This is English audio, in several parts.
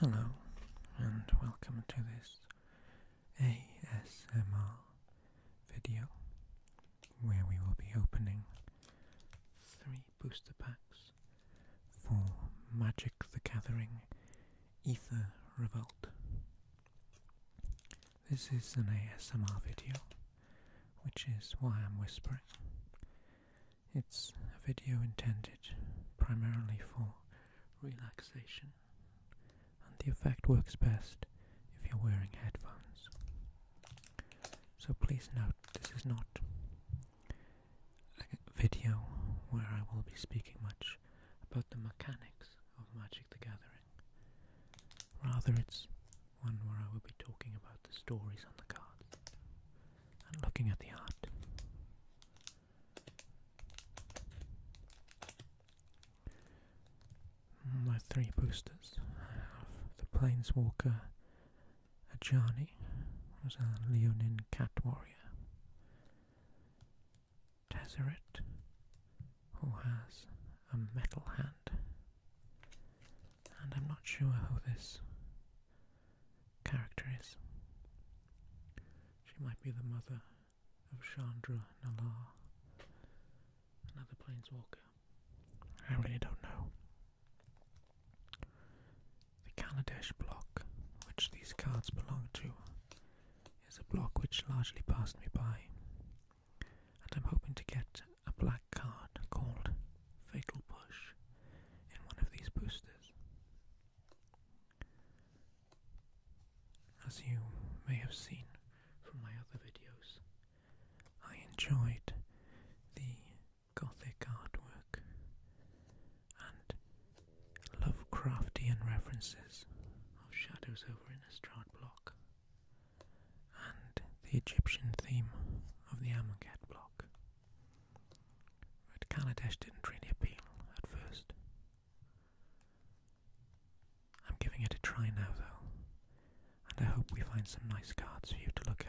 Hello and welcome to this ASMR video where we will be opening three booster packs for Magic the Gathering Ether Revolt. This is an ASMR video, which is why I'm whispering. It's a video intended primarily for relaxation and the effect works best if you're wearing headphones. So please note this is not a video where I will be speaking much about the mechanics of Magic the Gathering. Rather, it's one where I will be talking about the stories on the cards and looking at the art. My three boosters. I have the Planeswalker Ajani, who's a Leonine Cat Warrior. Tezzeret, who has a metal hand. And I'm not sure who this character is. She might be the mother of Chandra Nala, another planeswalker. I really don't know. The Kaladesh block, which these cards belong to, is a block which largely passed me by, and I'm hoping to get a black card called Fatal Push in one of these boosters. As you may have seen from my other videos, I enjoyed the Gothic artwork and Lovecraftian references of shadows over Innistrad block and the Egyptian theme of the Amonkhet block. But Kaladesh didn't really appeal at first, I'm giving it a try now, though, and I hope we find some nice cards for you to look at.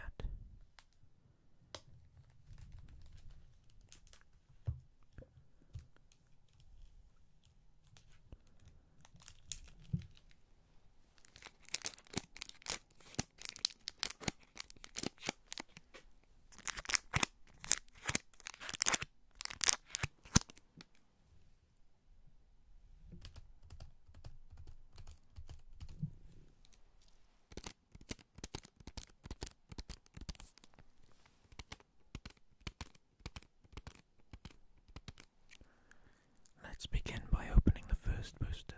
Let's begin by opening the first booster.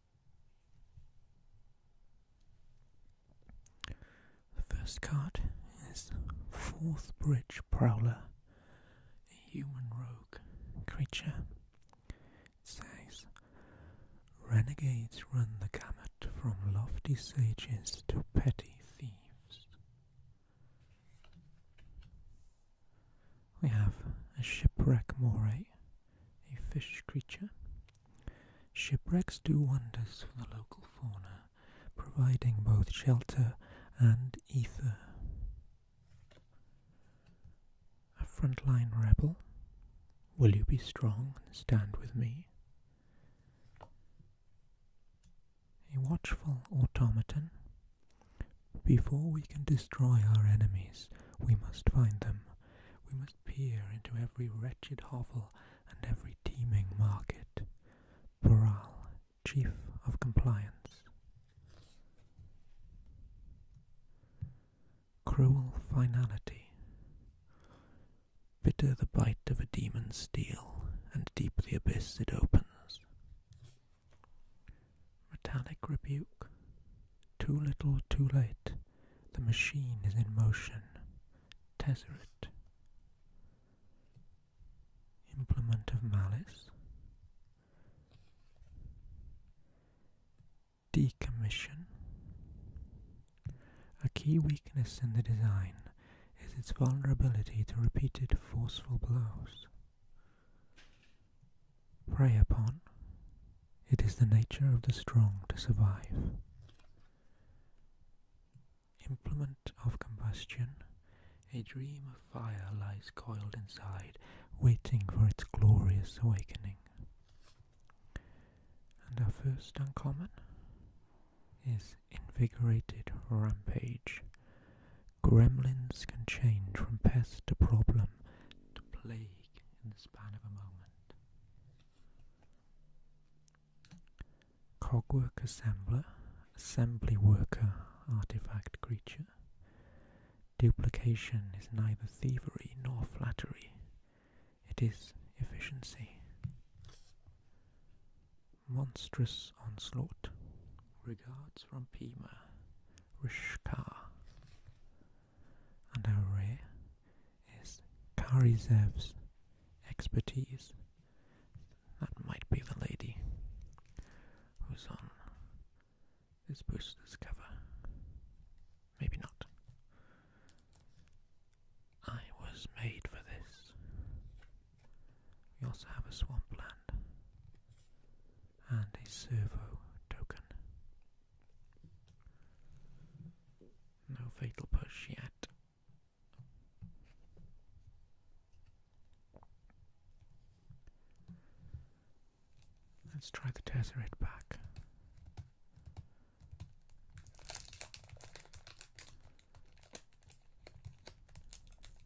The first card is Fourth Bridge Prowler, a human rogue creature. It says Renegades run the gamut from lofty sages to petty thieves. We have a shipwreck moray, a fish creature. Shipwrecks do wonders for the local fauna, providing both shelter and ether. A frontline rebel, will you be strong and stand with me? A watchful automaton, before we can destroy our enemies, we must find them. We must peer into every wretched hovel and every teeming market. Boral, Chief of Compliance. Cruel finality. Bitter the bite of a demon's steel, and deep the abyss it opens. Metallic rebuke. Too little, too late. The machine is in motion. Tezzeret. Implement of malice. Decommission. A key weakness in the design is its vulnerability to repeated forceful blows. Prey upon, it is the nature of the strong to survive. Implement of combustion, a dream of fire lies coiled inside, waiting for its glorious awakening. And our first uncommon is Invigorated Rampage. Gremlins can change from pest to problem to plague in the span of a moment. Cogwork assembler, assembly worker, artifact creature. Duplication is neither thievery nor flattery, it is efficiency. Monstrous onslaught, Regards from Pima, Rishka. And our rare is Karizev's expertise? That might be the lady who's on this booster's cover. Maybe not. I was made for this. We also have a swampland and a servo token. No fatal push yet. Let's try the Tesseract back.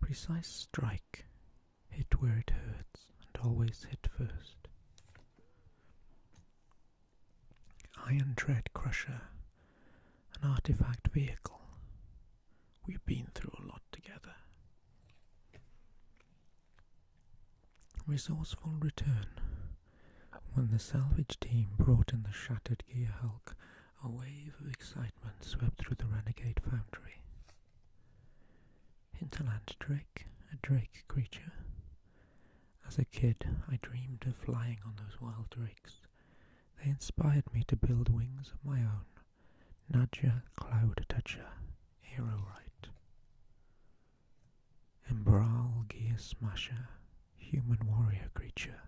Precise strike. Hit where it hurts and always hit first. Iron Tread Crusher. An artifact vehicle. We've been through a lot together. Resourceful Return. When the salvage team brought in the shattered Gear Hulk, a wave of excitement swept through the renegade foundry. Hinterland Drake, a drake creature. As a kid, I dreamed of flying on those wild drakes. They inspired me to build wings of my own. Nadja Cloud Toucher, Aerorite. Emberal Gear Smasher, human warrior creature.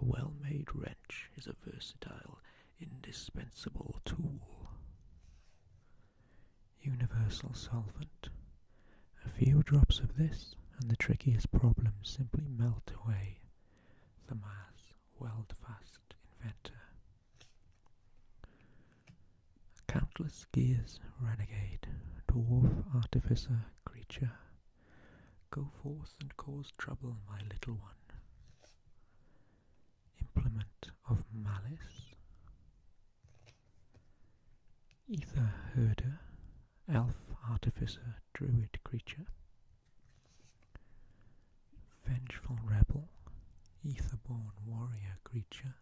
A well made wrench is a versatile, indispensable tool. Universal solvent. A few drops of this, and the trickiest problems simply melt away. The mass Thamar's fast Inventor. Countless Gears Renegade, Dwarf Artificer creature, go forth and cause trouble, my little one. Implement of malice, ether herder, elf artificer, druid creature, vengeful rebel, ether-born warrior creature,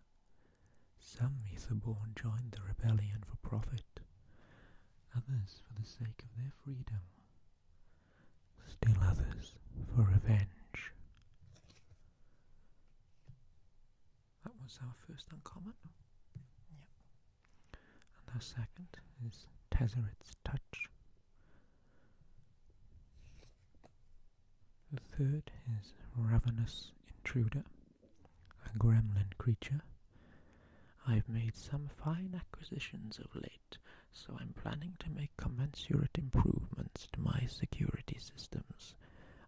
some Etherborn joined the rebellion for profit, others for the sake of their freedom, still others for revenge. That was our first uncommon. And our second is Tazzeret's Touch. The third is Ravenous Intruder a gremlin creature. I've made some fine acquisitions of late, so I'm planning to make commensurate improvements to my security systems.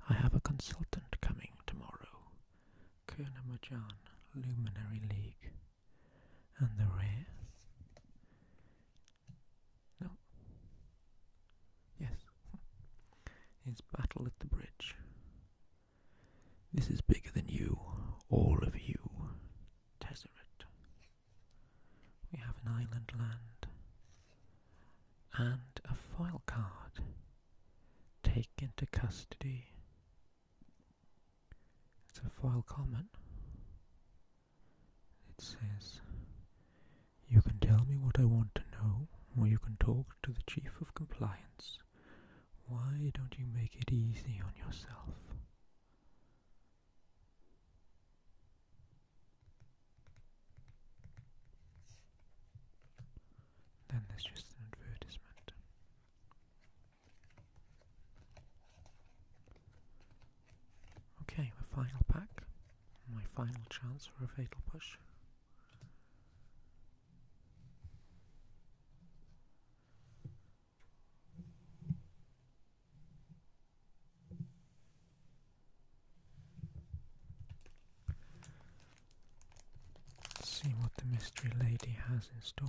I have a consultant coming tomorrow. Kurnamajan, Luminary League. And the rare? No. Yes. it's battle at the bridge. This is bigger than you, all of you. Tezzeret. We have an island land. And a file card. Take into custody. It's a file comment. It says you can tell me what I want to know, or you can talk to the Chief of Compliance. Why don't you make it easy on yourself? Then there's just an advertisement. Okay, my final pack. My final chance for a fatal push. Let's see what the mystery lady has in store.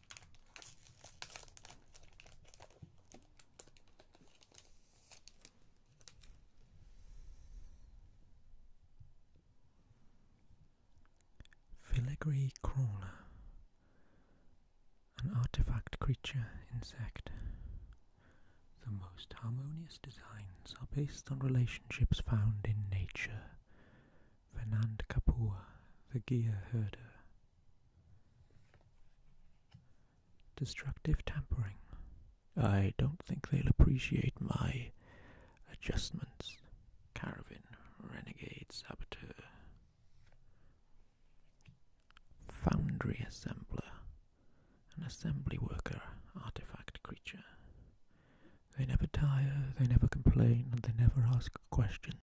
Filigree crawler, an artifact creature insect. The most harmonious designs are based on relationships found in nature. Venand Kapoor, the Gear Herder, Destructive tampering. I don't think they'll appreciate my adjustments. Caravan, renegade, saboteur. Foundry assembler. An assembly worker, artifact creature. They never tire, they never complain, and they never ask questions.